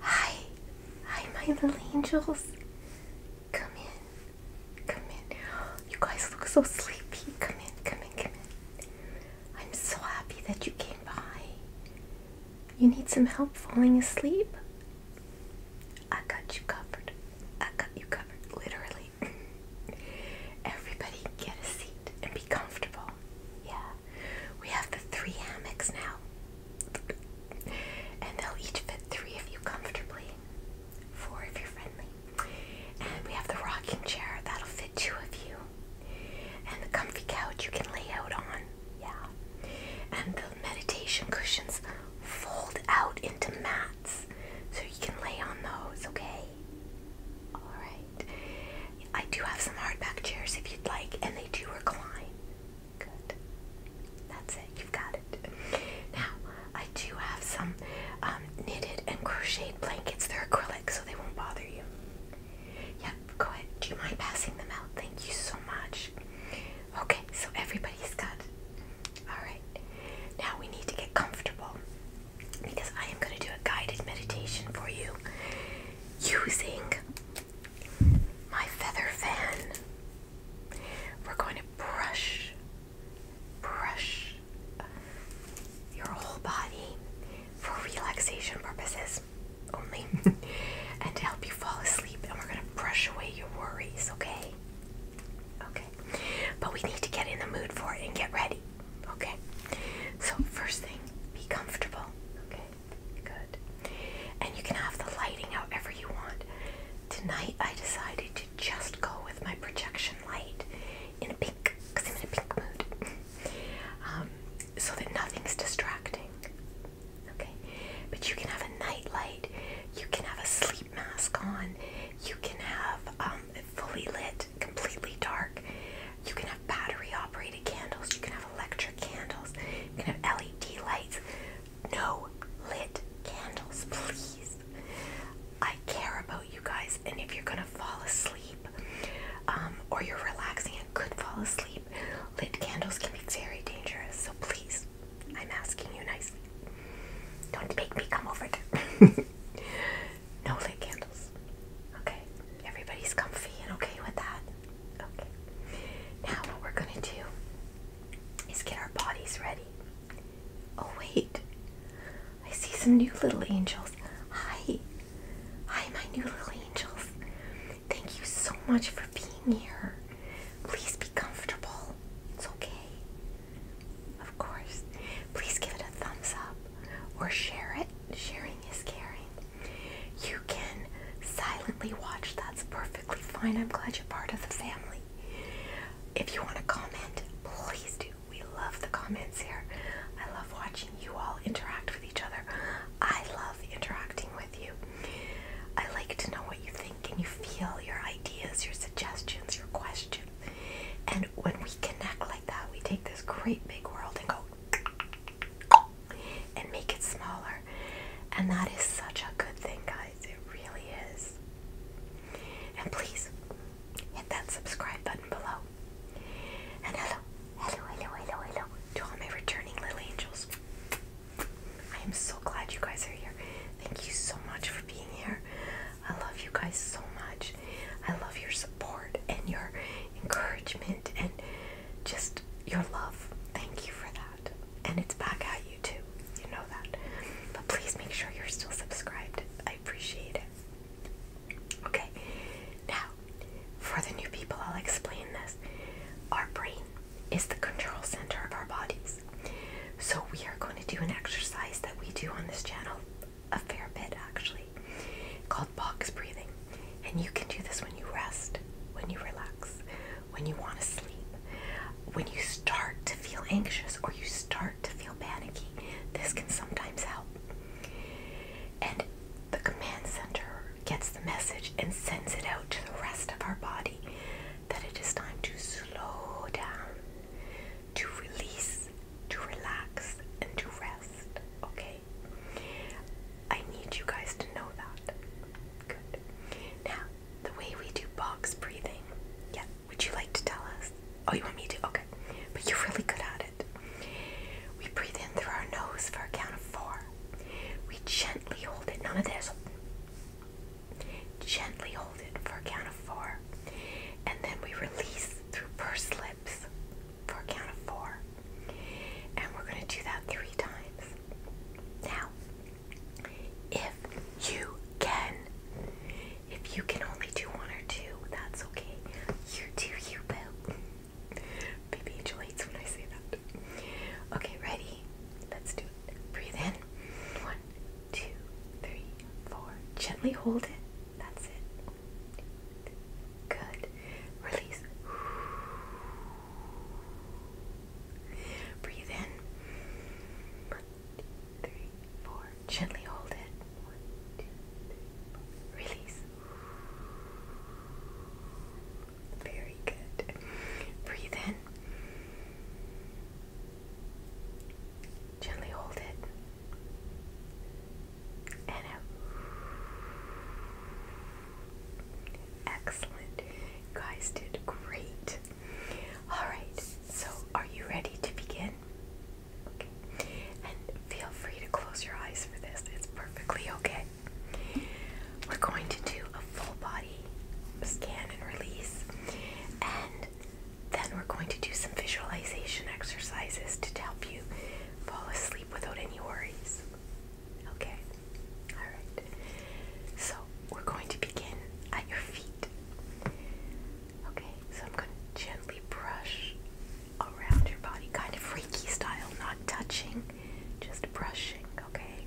Hi, hi, my little angels. Come in, come in. You guys look so sleepy. Come in, come in, come in. I'm so happy that you came by. You need some help falling asleep? I got you covered. I got you covered, literally. Everybody get a seat and be comfortable. Yeah. We have the three hammocks now. and they'll each fit three of you comfortably. Four if you're friendly. And we have the rocking chair that'll fit two of you. And the comfy couch you can lay out on. Yeah. And the meditation cushions fold out into mats so you can lay on those, okay? Alright. I do have some hardback chairs if you'd like, and they do recline. Good. That's it. You've got it. Now, I do have some um, knitted and crocheted blankets. They're acrylic, so they won't bother you. Yep. Go ahead. Do you mind passing them out? Thank you so much. Okay. So everybody's got. All right. Now we need to get comfortable because I am going to do a guided meditation for you using my feather fan. We're going to brush, brush your whole body for relaxation purposes only and to help you fall asleep. And we're going to brush away your worries, okay? Okay. But we need to get in the mood for it and get ready, okay? So, first thing, be comfortable, okay? good. And you can have the lighting however you want. Tonight I decided to just go with my projection light in a pink, because I'm in a pink mood. Um, so that nothing's distracting. Okay? But you can have a night light, you can have a sleep mask on, you can have um, fully lit, completely dark. You can have battery operated candles, you can have electric candles, you can have LED lights. No lit candles, please. I care about you guys, and if you're gonna fall asleep um, or you're relaxing and could fall asleep, lit candles can be very dangerous. So please, I'm asking you nicely. Don't make me come over there. no lit candles. Okay, everybody's comfy and okay with that. Okay. Now what we're gonna do is get our bodies ready. Oh wait. I see some new little angels. Hi. Hi my new little angels. Thank you so much for being here. Please be comfortable. It's okay. Of course. Please give it a thumbs up or share it. Sharing is caring. You can silently watch. That's perfectly fine. I'm glad you're part of the family. If you want to comment, please do. We love the comments here. I love watching you all interact with each other. I love interacting with you. I like to know what you think and you feel, your ideas, your suggestions, your questions. And when we connect like that, we take this great big world and go, and make it smaller. And that is such a good thing, guys. It really is. And please hit that subscribe button below. And hello, hello, hello, hello, hello to all my returning little angels. I am so glad you guys are here. Thank you so much for being here. I love you guys so much. I love your support and your encouragement and just your love. Thank you for that. And it's back at you too. You know that. But please make sure you're still subscribed. I appreciate it. Okay. Now, for the new people, I'll explain this. Our brain is the control center of our bodies. So we are going to do an exercise that we do on this channel a fair bit actually called box breathing. And you can do this when you rest, when you relax, when you want to sleep, when you start to feel anxious or you start to feel panicky. This can sometimes help. And the command center gets the message and sends it out to the rest of our body that it is time to slow down, to release, to relax, and to rest. Okay? I need you guys to know that. Good. Now, the way we do box breathing, yeah, would you like to tell us? Oh, you want me to? Okay. But you're really good at it. We breathe in through our nose for a count of four. We gently hold it. None of this. Gently hold it for a count of four. And then we release through pursed lips for a count of four. And we're going to do that three times. Now, if you can, if you can only do one or two, that's okay. You do, you will. Baby Angel hates when I say that. Okay, ready? Let's do it. Breathe in. One, two, three, four. Gently hold it. That's it. Good. Release. Breathe in. One, two, three, four. Gently hold it. One, two, three, four. Release. Very good. Breathe in. Gently hold it. And out. Excellent. guys did great. Alright, so are you ready to begin? Okay. And feel free to close your eyes for this. It's perfectly okay. We're going to do a full body scan and release, and then we're going to do some visualization exercises to help you fall asleep without any worries. Okay, alright. So we're going to begin at your feet. Okay, so I'm going to gently brush around your body, kind of Reiki style, not touching, just brushing, okay?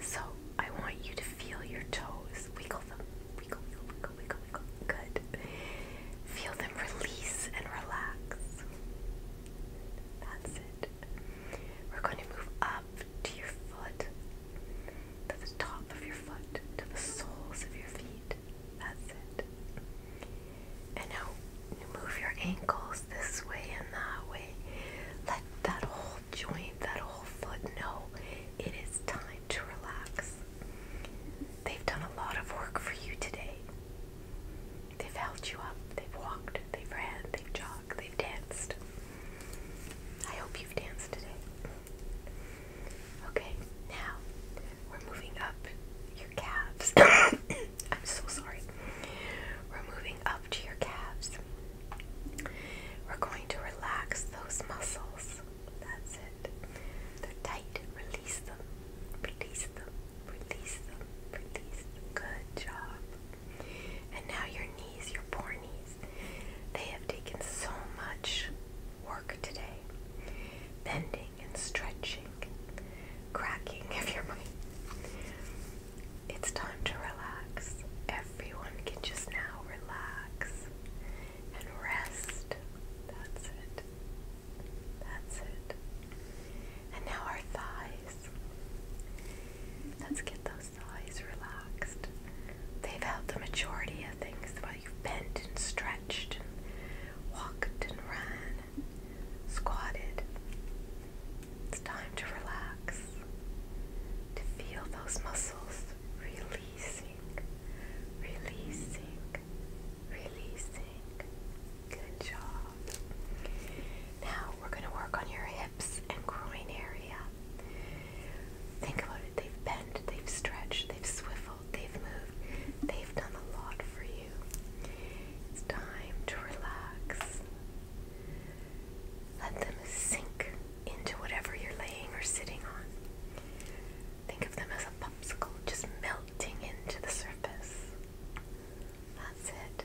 So I want you to feel your toes, wiggle them, wiggle, wiggle, wiggle, wiggle, wiggle, good. Feel them release and relax. That's it. We're going to move up to your foot, to the top of your foot, to the soles of your feet. That's it. And now move your ankles this way and that way. Let that whole joint, that whole foot know it is time to relax. They've done a lot of work for you today. They've held you up, they've walked, they've ran, they've jogged, they've danced. I hope you've danced today. Okay, now we're moving up your calves. I'm so sorry. We're moving up to your calves. We're going to relax those muscles. That's it. They're tight. Release them. Release them. Release them. Release them. Good job. And now your knees, your poor knees, they have taken so much work today. Bending and stretching, cracking of your mind. It's time to relax. Everyone can just now relax and rest. That's it. That's it. And now our thighs face. Let's get those thighs relaxed. They've held the majority of things while you've bent and stretched and walked and ran and squatted. It's time to relax, to feel those muscles releasing, releasing, releasing. Good job. Now we're going to work on your hips and groin area. Think about it. They've bent, they've stretched, they've swiveled, they've moved, they've done a lot for you. It's time to relax. Let them sink into whatever you're laying or sitting on. Think of them as a popsicle just melting into the surface. That's it.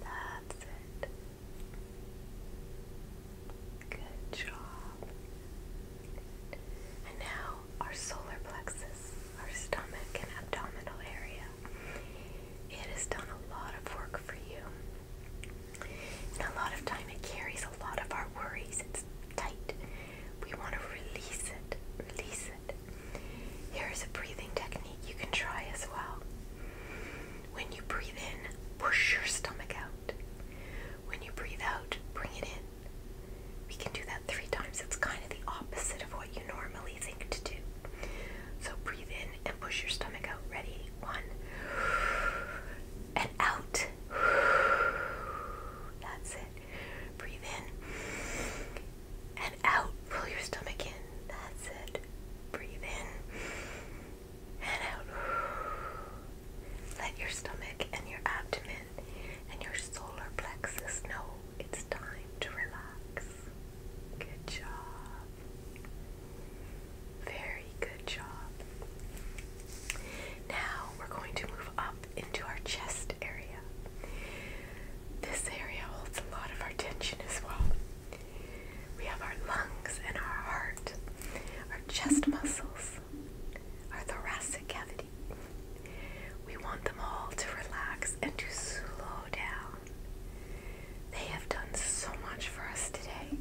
That's it. Good job. And now our solar plexus, our stomach and abdominal area. It has done a lot of work for you. And a lot of time it carries a lot of our worries. It's tight. We want to release it. Release it. Here is a breathing technique you can try as well. When you breathe in, push your stomach out. When you breathe out, bring it in. We can do that three times. It's kind of the opposite of what you normally think to do. So breathe in and push your stomach out. Ready? One. And out. That's it. Breathe in and out. Pull your stomach in. That's it. Breathe in and out. Let your stomach and your abdomen and your solar plexus know it's time to relax. Good job. Very good job. Now we're going to move up into our chest area. This area holds a lot of our tension as well. We have our lungs and our heart, our chest muscles, our thoracic cavity. We want them all to relax and to slow down. They have done so much for us today.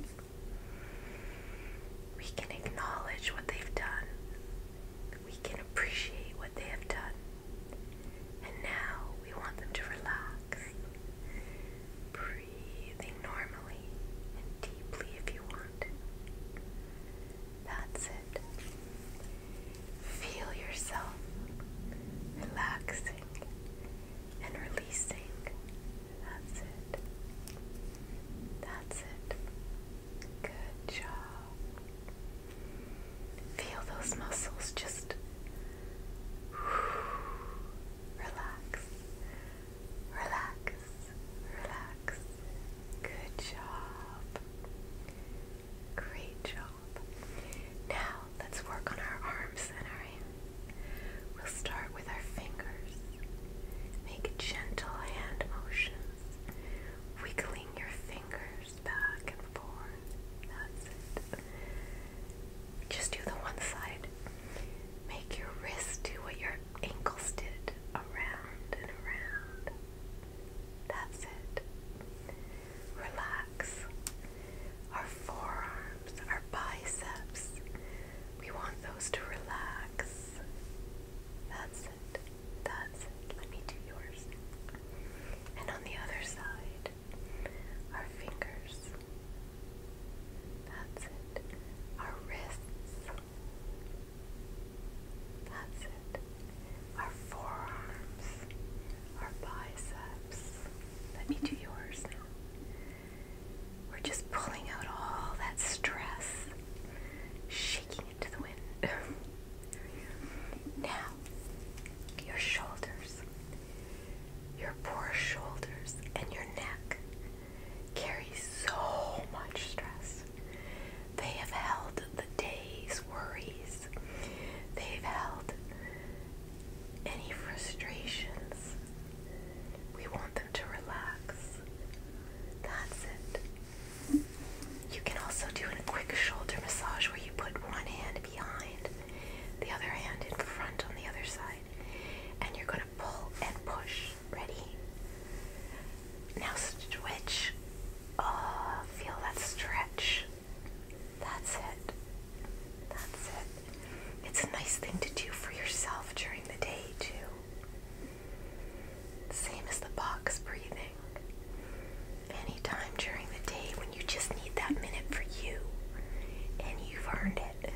We can acknowledge what they've done. We can appreciate what they have done. And now we want them to relax, breathing normally and deeply if you want. That's it. Feel yourself relaxing and releasing. That's it. That's it. Good job. Feel those muscles just Relax. Relax. Relax. Good job. Great job. Now let's work on our arms and our hands. We'll start with our fingers. Make gentle hand motions, wiggling your fingers back and forth. That's it. Just do the one side. Make your wrist do what your ankles did around and around. That's it. Relax. Our forearms, our biceps. We want those to relax. That's it. That's it. Let me do yours. And on the other side, our fingers. That's it. Our wrists. That's it. Our forearms. Our biceps. Let me do yours now. We're just pulling out all that stress, shaking it to the wind. now, your shoulders your poor shoulders and your neck carry so much stress. They have held the day's worries, they've held any frustrations. We want them to relax. That's it. You can also do a quick shoulder massage where you put one hand behind the other hand in front on the other side, and you're going to pull and push. Ready? Now switch. Oh, feel that stretch. That's it. That's it. It's a nice thing to do for yourself during the day, too. Same as the box breathing. And time during the day when you just need that minute for you. And you've earned it.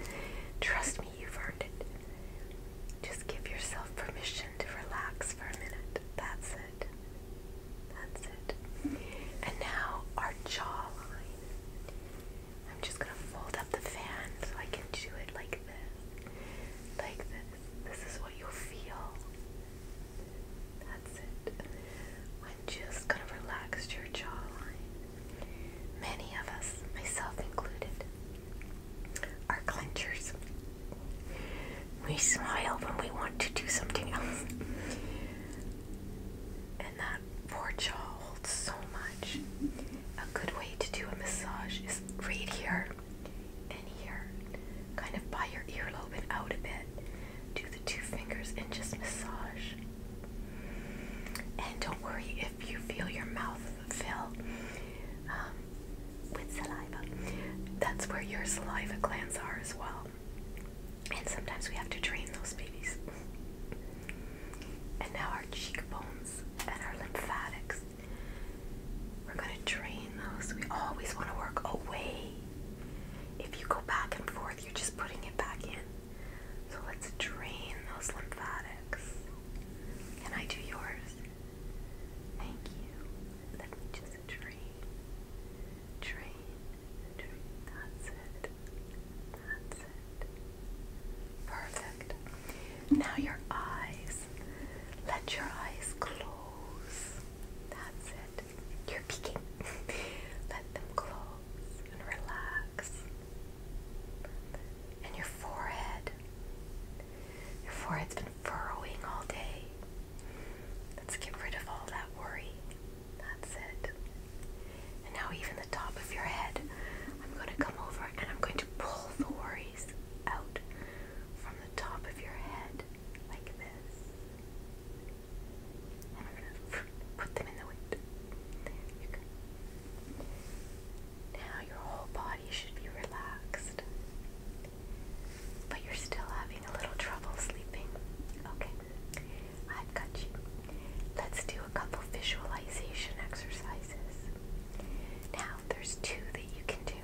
Trust me, you've earned it. Just give yourself permission to relax for a minute. That's it. That's it. And now our jawline. I'm just going to fold up the fan so I can do it like this. Like this. This is what you'll feel. When just kind of relaxed your jawline. Many of us, myself included, are clenchers. We smile when we want to do something else. And that poor jaw holds so much. A good way to do a massage is right here and here, kind of by your earlobe and out a bit, do the two fingers and just massage. And don't worry if you feel your mouth fill um, with saliva. That's where your saliva glands are as well. And sometimes we have to drain those babies. And now our cheekbones and our lymphatics. We're going to drain those. We always want to work away. If you go back and forth, you're just putting it back in. So let's drain those lymphatics. Can I do yours? Thank you. Let me just drain. Drain. Drain. That's it. That's it. Perfect. Now your eyes. Let your eyes close. That's it. You're peeking. Let them close and relax. And your forehead. Your forehead's been furrowing all day. Let's get rid of all that worry. That's it. And now, even the top of your head, I'm going to come over and I'm going to pull the worries out from the top of your head like this and we gonna put them in the wind. There you go. Now your whole body should be relaxed, but you're still having a little trouble sleeping. Okay, I've got you. Let's do a couple visualization exercises. Now, there's two that you can do.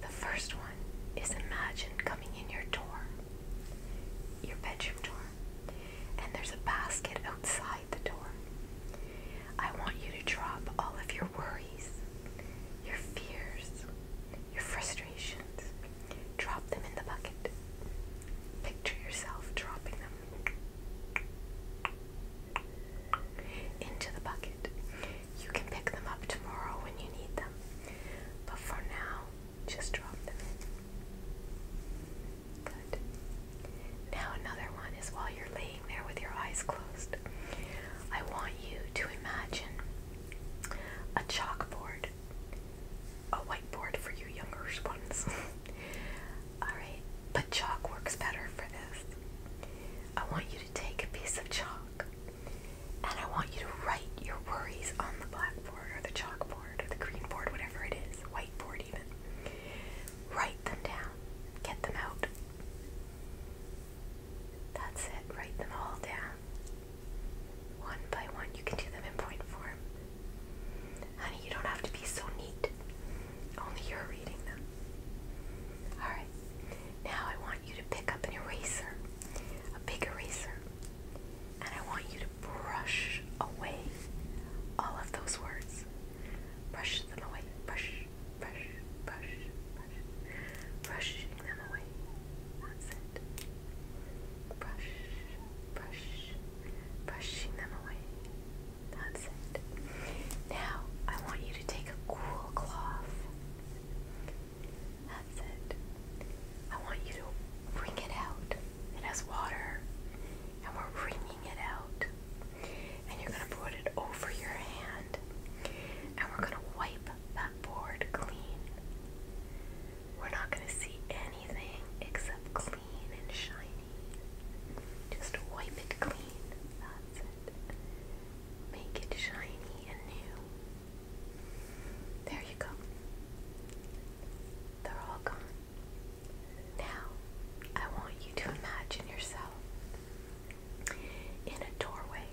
The first one is imagine coming in your door, your bedroom door, and there's a basket outside the door. I want you to drop all of your worries, your fears, your frustrations. Drop them in the bucket. Picture yourself dropping them into the bucket. You can pick them up tomorrow when you need them. But for now, just drop them Good. Now, another one is while you're laying there with your eyes closed, I want you to imagine a chalkboard, a whiteboard for you younger ones. Alright, but chalk works better for this. I want you to take a piece of chalk and I want you to write your worries on the blackboard or the chalkboard the green board, whatever it is, whiteboard even. Write them down. Get them out. That's it. Write them all down. One by one. You can do them in point form. Honey, you don't have to be so neat. Only you're reading them. Alright. Now I want you to pick up an eraser, a big eraser, and I want you to brush away all of those words. Brush them away. Brush, brush, brush, brush. Brushing them away. That's it. Brush, brush, brushing them away. That's it. Now, I want you to take a cool cloth. That's it. I want you to wring it out. It has water, and we're wringing it out. And you're going to put it over your hand, and we're going to wipe that board clean. We're not going to see anything except clean and shiny. Just wipe it clean. That's it. Make it shiny and new. There you go. They're all gone. Now, I want you to imagine yourself in a doorway.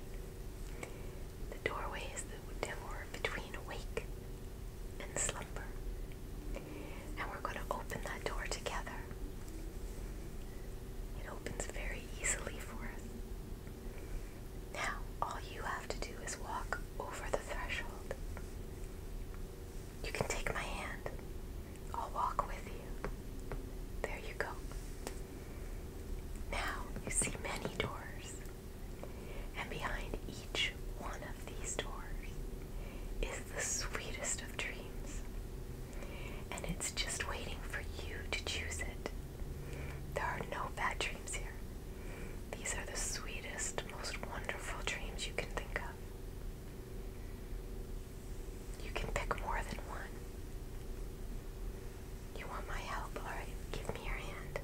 The doorway is the door between awake and slumber. And we're going to open that door together. It opens very easily for us. Now, all you have to do is walk over the threshold you can take my hand. I'll walk with you. There you go. Now you see many doors, and behind each one of these doors is the sweetest of dreams, and it's just waiting for you to choose it. There are no bad dreams here. These are the sweetest, most wonderful dreams you can think of. You can pick more than one. You want my help? Alright, give me your hand.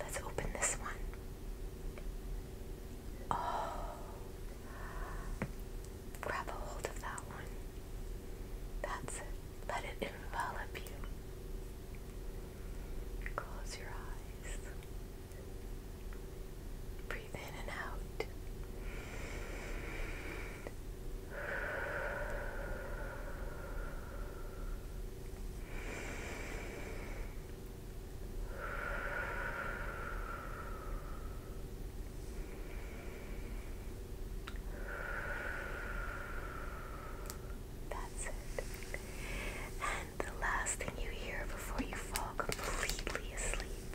Let's open this one. Oh. Grab a hold of that one. That's it. Let it envelop you. Close your eyes. Breathe in and out. That's it the last thing you hear before you fall completely asleep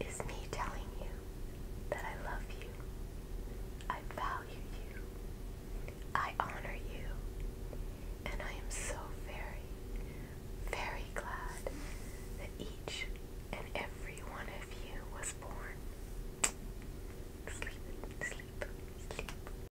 is me telling you that I love you, I value you, I honor you, and I am so very, very glad that each and every one of you was born. Sleep, sleep, sleep.